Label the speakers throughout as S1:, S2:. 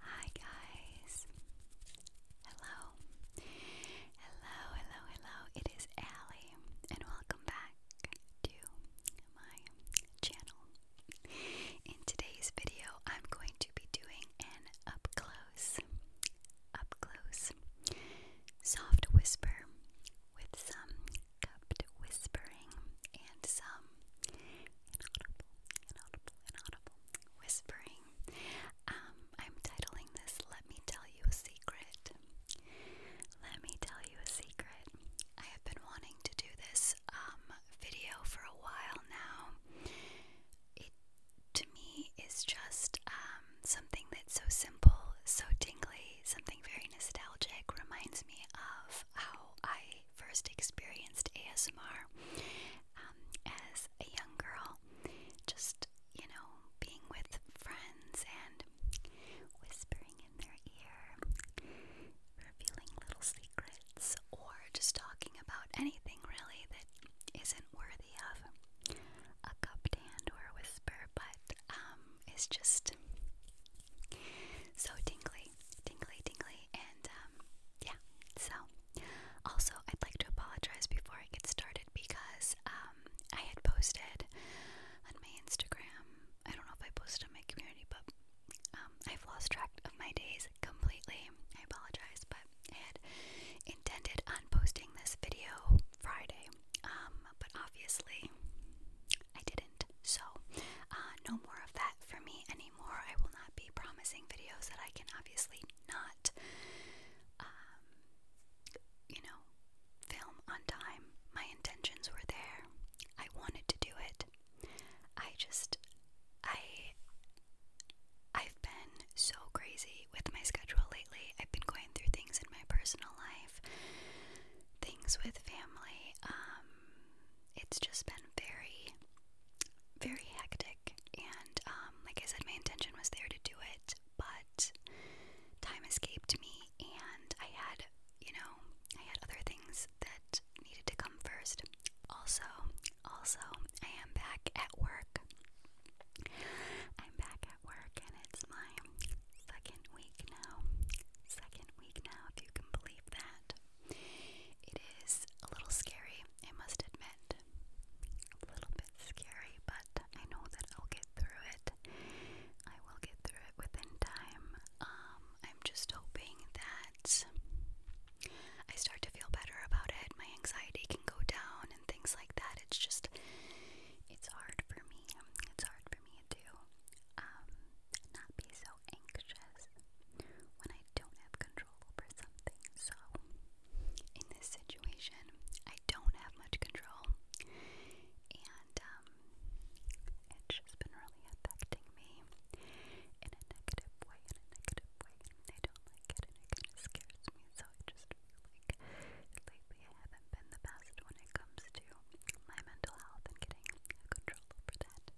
S1: Hi guys. Hello. Hello, hello, hello. It is Allie and welcome back to my channel. In today's video, I'm going to be doing an up close up close soft whisper with some cupped whispering and some inaudible, inaudible, inaudible whispering. Um, I'm titling this Let Me Tell You a Secret. Let me tell you a secret. I have been wanting to do this um, video for a while now. It to me is just um, something that's so simple, so dingly, something very nostalgic. Reminds me of how I first experienced ASMR um, as a young girl, just, you know, being with friends and whispering in their ear, revealing little secrets, or just talking about anything really that isn't worthy of a cupped hand or a whisper, but um, is just so tingly tingly, tingly, and um, yeah. So, also, I'd like to apologize before I get started because um, I had posted on my Instagram. I don't know if I posted on my community, but um, I've lost track of my days completely. I apologize, but I had intended on posting this video Friday, but obviously I did not didn't. So, uh, no more of that for me anymore. I will not be promising videos that I can obviously not, um, you know, film on time. My intentions were there. I wanted to do it. I just, I, I've been so crazy with my schedule lately. I've been going through things in my personal life, things with family. Um, it's just been very, very hectic. And um, like I said, my intention was there to do it, but time escaped me, and I had, you know, I had other things that needed to come first. Also, also, I am back at work. I'm back at work, and it's my second week now. Second week now, if you can believe that. It is a little scary, I must admit. A little bit scary, but I know that I'll get through it. I will get through it within time. Um, I'm just hoping that I start to feel better about it. My anxiety can go down and things like that. It's just, it's hard for me. It's hard for me to um, not be so anxious when I don't have control over something. So, in this situation, I don't have much control, and um, it's just been really affecting me in a negative way. In a negative way, I don't like it, it kind of scares me. So I just feel like lately I haven't been the best when it comes to my mental health and getting control over that.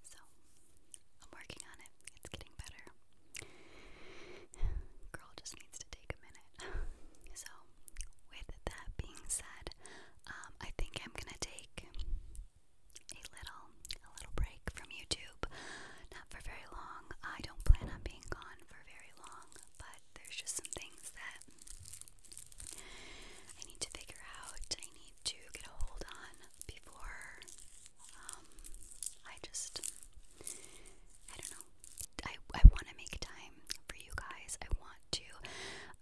S1: So, I'm working on it. It's getting better. Girl just needs to take a minute. so, with that being said, um, I think I'm gonna take a little, a little break from YouTube. Not for very long. I don't plan on being gone for very long, but there's just some things that I need to figure out. I need to get a hold on before um, I just, I don't know. I, I want to make time for you guys. I want to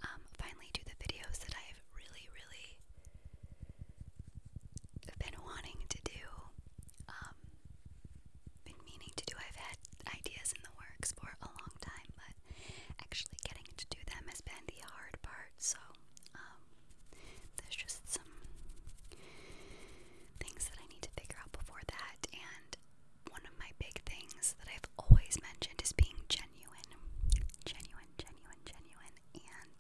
S1: um, finally do the videos that I've really, really been wanting to do, um, been meaning to do. I've had ideas in the works for a long time, but but actually getting to do them has been the hard part. So um, there's just some things that I need to figure out before that. And one of my big things that I've always mentioned is being genuine, genuine, genuine, genuine. And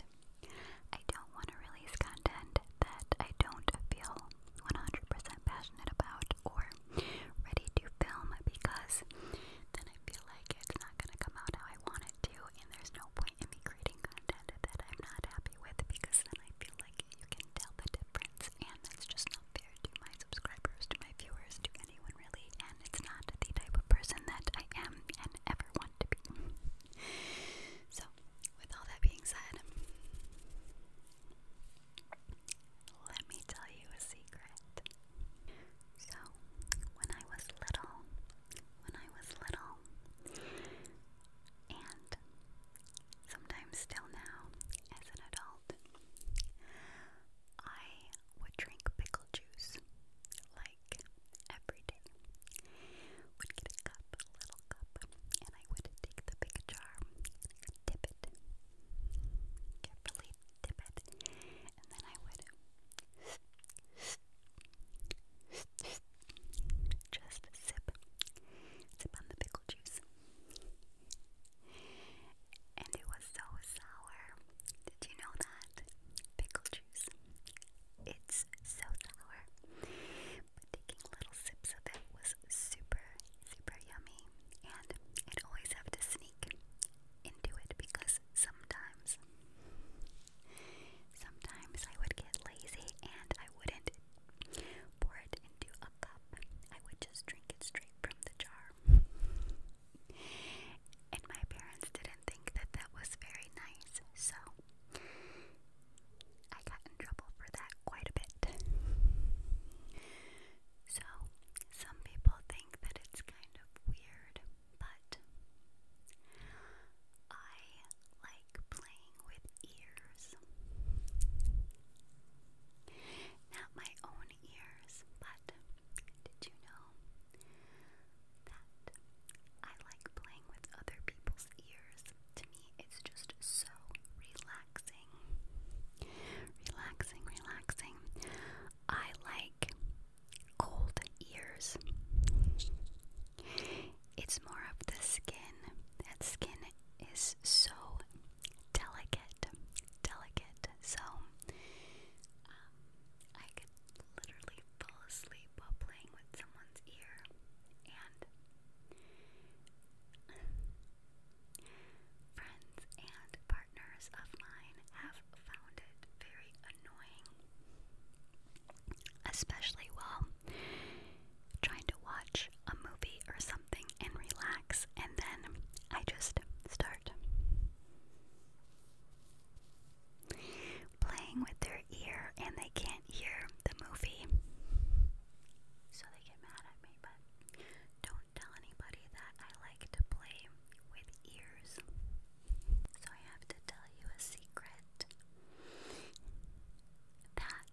S1: I don't want to release content that I don't feel 100% passionate about or ready to film because then I feel like it's not going to come out how I want it to, and there's no point in me creating content that I'm not happy with because then I feel like you can tell the difference, and that's just not fair to my subscribers, to my viewers, to anyone really, and it's not the type of person that I am and ever want to be. so, with all that being said, let me tell you a secret. So, when I was little, when I was little, and sometimes still now as an adult, I would drink pickle juice like every day. Would get a cup, little cup, and I would take the big jar, dip it, carefully dip it and then I would just sip, sip on the pickle juice. And it was so sour. Did you know that? Pickle juice. It's so sour. But taking little sips of it was super, super yummy. And I'd always have to sneak into it because sometimes, sometimes I would get lazy and I wouldn't pour it into a cup. I would just drink it straight from the jar. and my parents didn't think that that was very nice, so I got in trouble for that quite a bit. So, some people that it's kind of weird, but I like playing with ears. Not my own ears, but did you know that I like playing with other people's ears? To me, it's just so relaxing. Relaxing, relaxing. I like cold ears. It's more of the skin. That skin is so delicate, delicate. So um, I could literally fall asleep while playing with someone's ear, and friends and partners of mine have found it very annoying, especially while trying to watch a movie or something and relax, and then I just start playing with their ear and they can't hear the movie. So they get mad at me, but don't tell anybody that I like to play with ears. So I have to tell you a secret that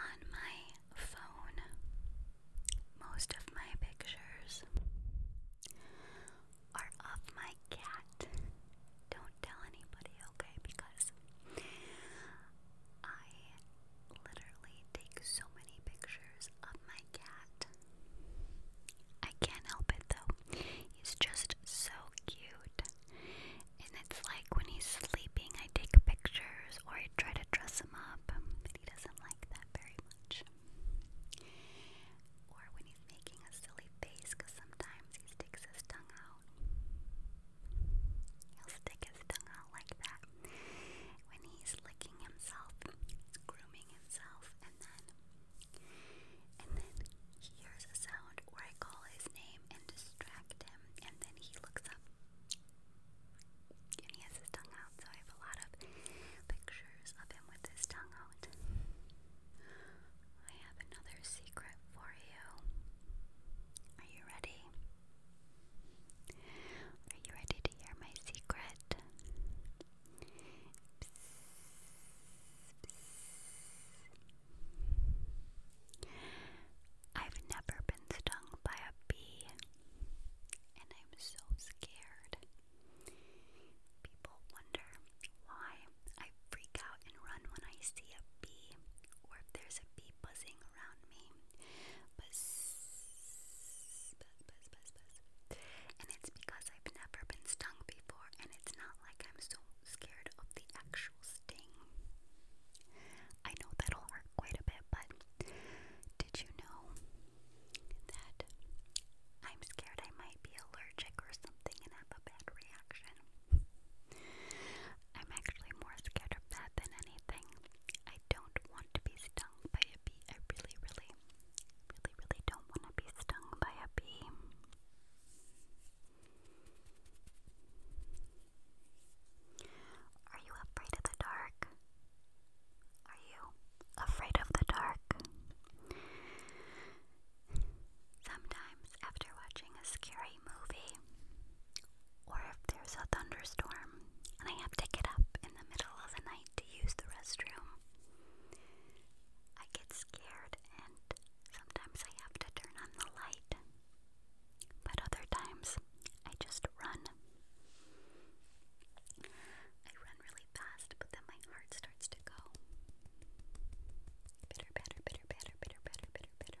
S1: on my phone, most of my pictures are of my cat. Don't tell anybody, okay? Because I literally take so many pictures of my cat. I can't help it though. He's just so cute. And it's like when he's sleeping, I take pictures or I try to dress him up, but he doesn't like that very much. Or when he's making a silly face, because sometimes he sticks his tongue out. He'll stick his tongue like that when he's licking himself, grooming himself, and then and then he hears a sound where I call his name and distract him, and then he looks up and he has his tongue out. So I have a lot of pictures of him with his tongue out. I have another secret for you. Are you ready? Are you ready hear my secret. I've never been stung by a bee, and I'm so scared. People wonder why I freak out and run when I see a bee, or if there's a bee buzzing around me. And it's because I've never been stung before, and it's not like I'm so scared of the actual sting. I know that'll hurt quite a bit, but did you know that I'm scared I might be allergic or something and have a bad reaction? I'm actually more scared of that than anything. I don't want to be stung by a bee. I really, really, really, really don't want to be stung by a bee. Are you afraid of the dark? Are you afraid of the dark? Sometimes, after watching a scary movie, or if there's a thunderstorm, I have to get up in the middle of the night to use the restroom. I get scared and sometimes I have to turn on the light, but other times I just run. I run really fast, but then my heart starts to go. Bitter, bitter, bitter, bitter, bitter, bitter, bitter,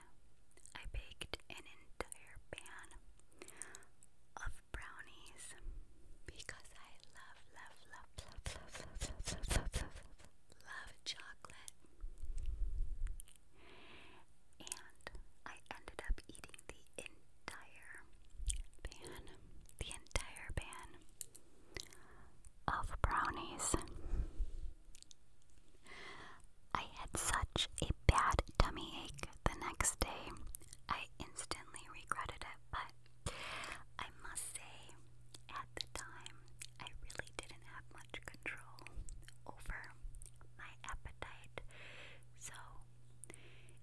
S1: I baked an entire pan of brownies because I love, love, love, love, love, love, love, love, love, love, love, love chocolate. And I ended up eating the entire pan, the entire pan of brownies. I had such a bad tummy ache the next day. I instantly regretted it, but I must say, at the time, I really didn't have much control over my appetite. So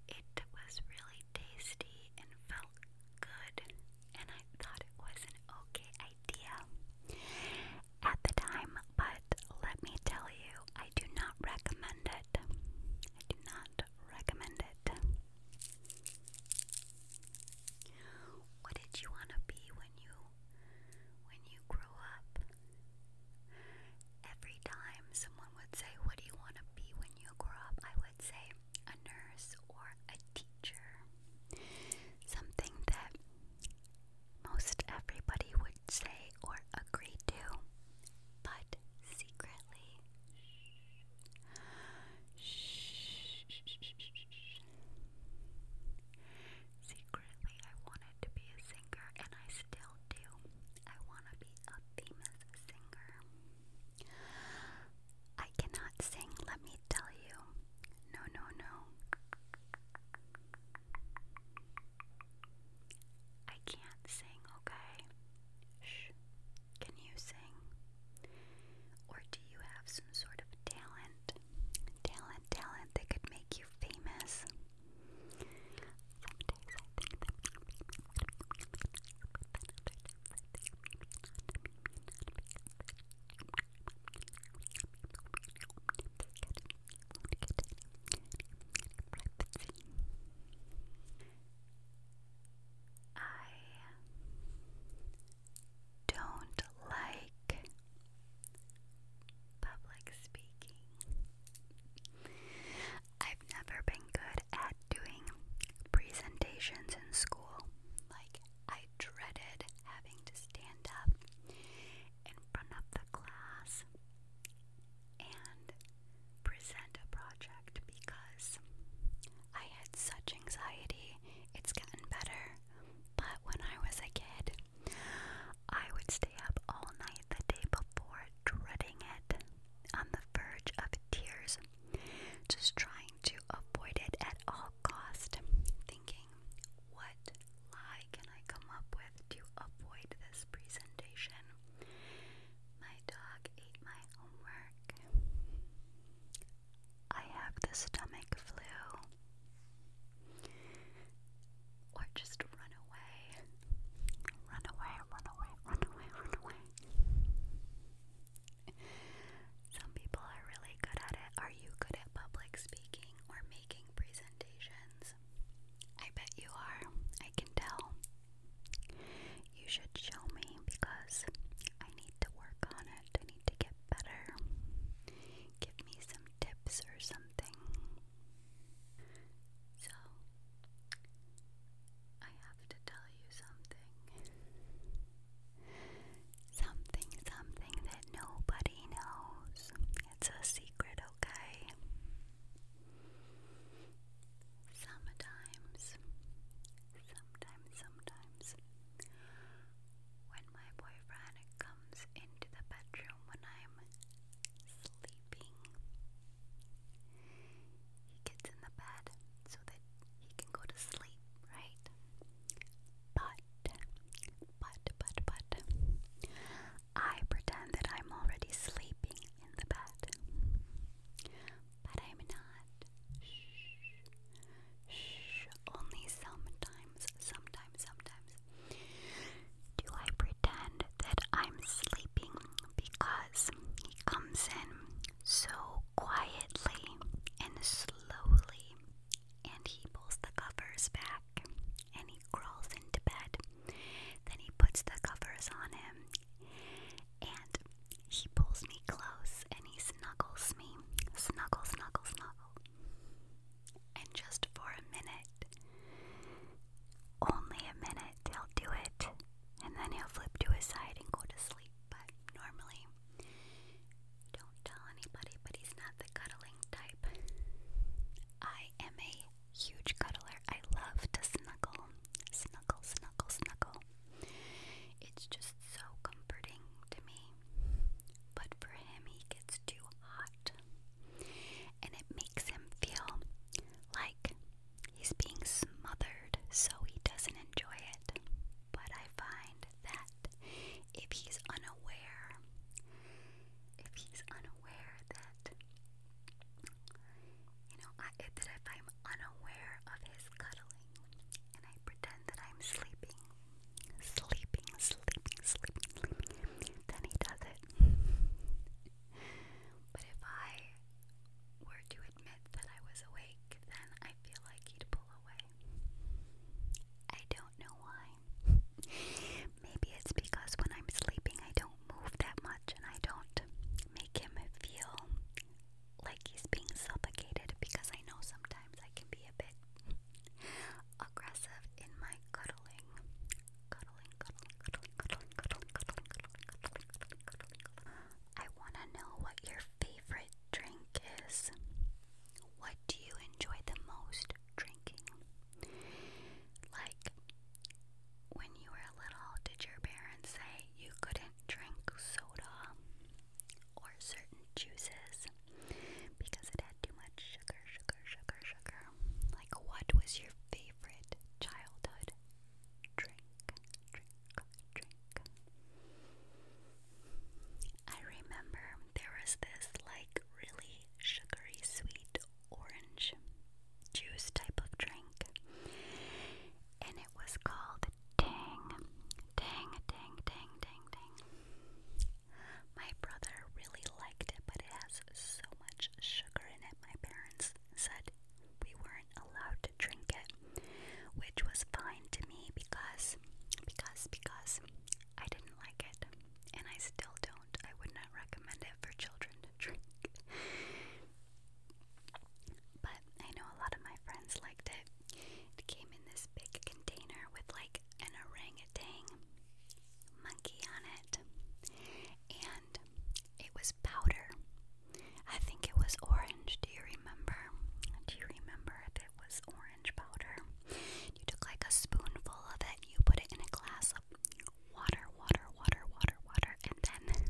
S1: it was really tasty and felt good, and I thought it was an okay idea at the time, but let me tell you, I do not recommend it. I do not recommend it. What did you want to be when you when you grew up? Every time someone would say, "What do you want to be when you grow up?" I would say a nurse or a teacher. Something that most everybody would say or agree to, but secretly, shh, secretly I wanted to be a singer, and I still do. I want to be a famous singer. I cannot sing, let me tell you. No, no, no. I can't sing, okay? Shh. Can you sing? Or do you have some sort of talent? Talent, talent that could make you famous? Sometimes I think I don't like public speaking. I've never been good at doing presentations in school. Like, I dreaded having to stand up in front of the class and present a project because I had such anxiety. It's gotten better, but when I was a kid, I would stay up all night the day before, dreading it, on the verge of tears, just trying to avoid it at all cost, thinking, what lie can I come up with to avoid this presentation? My dog ate my homework. I have the stomach flu. Or just run away. Run away, run away, run away, run away. Some people are really good at it. Are you good at public speaking or making presentations? I bet you are. I can tell. You should show me because I need to work on it. I need to get better. Give me some tips or something. So, I have to tell you something. Something, something that nobody knows. It's a secret, okay? Sometimes, sometimes, sometimes, when my boyfriend comes into the bedroom when I'm sleeping, he gets in the bed so that he can go to sleep, right? But, but, but, but, I pretend that I'm already sleeping in the bed. But I'm not. Shh. Shh. Only sometimes, sometimes, sometimes do I pretend that I'm sleeping because he comes in so quietly and slowly and he pulls the covers back and he crawls into bed. Then he puts the covers on him and he pulls me close and he snuggles me. Snuggle, snuggle, snuggle. And just for a minute, only a minute, he'll do it. And then he'll flip to his and go to sleep. But normally, don't tell anybody, but he's not the cuddler type. I am a huge cuddler. I love to snuggle, snuggle, snuggle, snuggle. It's just so comforting to me. But for him, he gets too hot. And it makes him feel like he's being smothered, so he doesn't enjoy it. But I find that if he's unaware, if he's unaware, unaware that you know that if I'm unaware of his cuddling and I pretend that I'm sleeping, sleeping, sleeping, sleeping, then he does it. but if I were to admit that I was awake, then I feel like he'd pull away. I don't know why. Maybe it's because when I'm sleeping, I don't move that much and I don't make him feel like he's being suffocated because I know sometimes I can be a bit aggressive in my cuddling. cuddling. I want to know what your favorite drink is. What do you enjoy the most drinking? Like, when you were little, did your parents say you couldn't drink soda or certain juices because it had too much sugar, sugar, sugar, sugar? Like, what was your favorite childhood drink? Drink, drink. I remember there was this, like, really sugary sweet orange juice type of drink. And it was called Tang. Tang, Tang, Tang, Tang, Tang. My brother really liked it, but it has so much sugar in it. My parents said we weren't allowed to drink it, which was fine to me because, because, because I didn't like it, and I still don't. I would not recommend it for children to drink. but I know a lot of my friends liked it. It came in this big container with like an orangutan monkey on it, and it was powder. I think it was orange. Do you remember? Do you remember it was orange? orange powder. You took like a spoonful of it, you put it in a glass of water, water, water, water, water, and then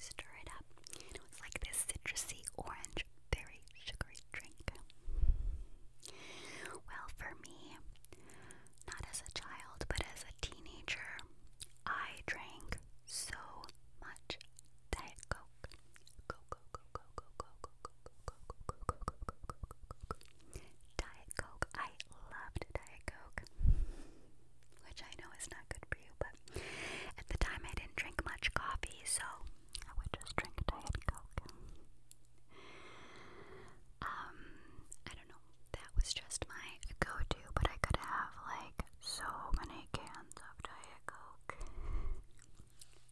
S1: stir it up. And it was like this citrusy orange, very sugary drink. Well, for me, not as a child, but as a teenager, I drank so much Diet Coke. Coke, Coke, Coke, Coke, Coke, Diet Coke. I loved Diet Coke, which I know is not good for you, but at the time I didn't drink much coffee, so I would just drink Diet Coke. Um, I don't know. That was just my go-to, but I could have like so many cans of Diet Coke.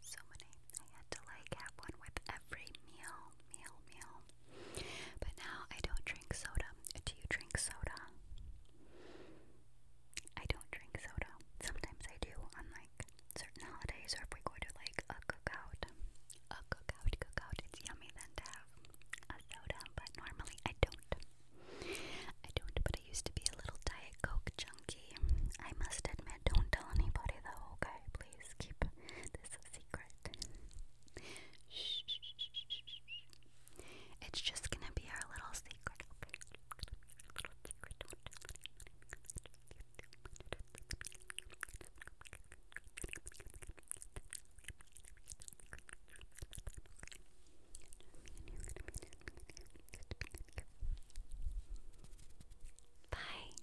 S1: So many. I had to like have one with every meal meow, meow. But now I don't drink soda. Do you drink soda? I don't drink soda. Sometimes I do on like certain holidays or if we go to like a cookout. A cookout, cookout. It's yummy then to have a soda, but normally I don't. I don't, but I used to be a little Diet Coke junkie. I must admit, don't tell anybody though, okay? please please keep this a secret. shh, It's just gonna be our little secret, Little secret. Bye.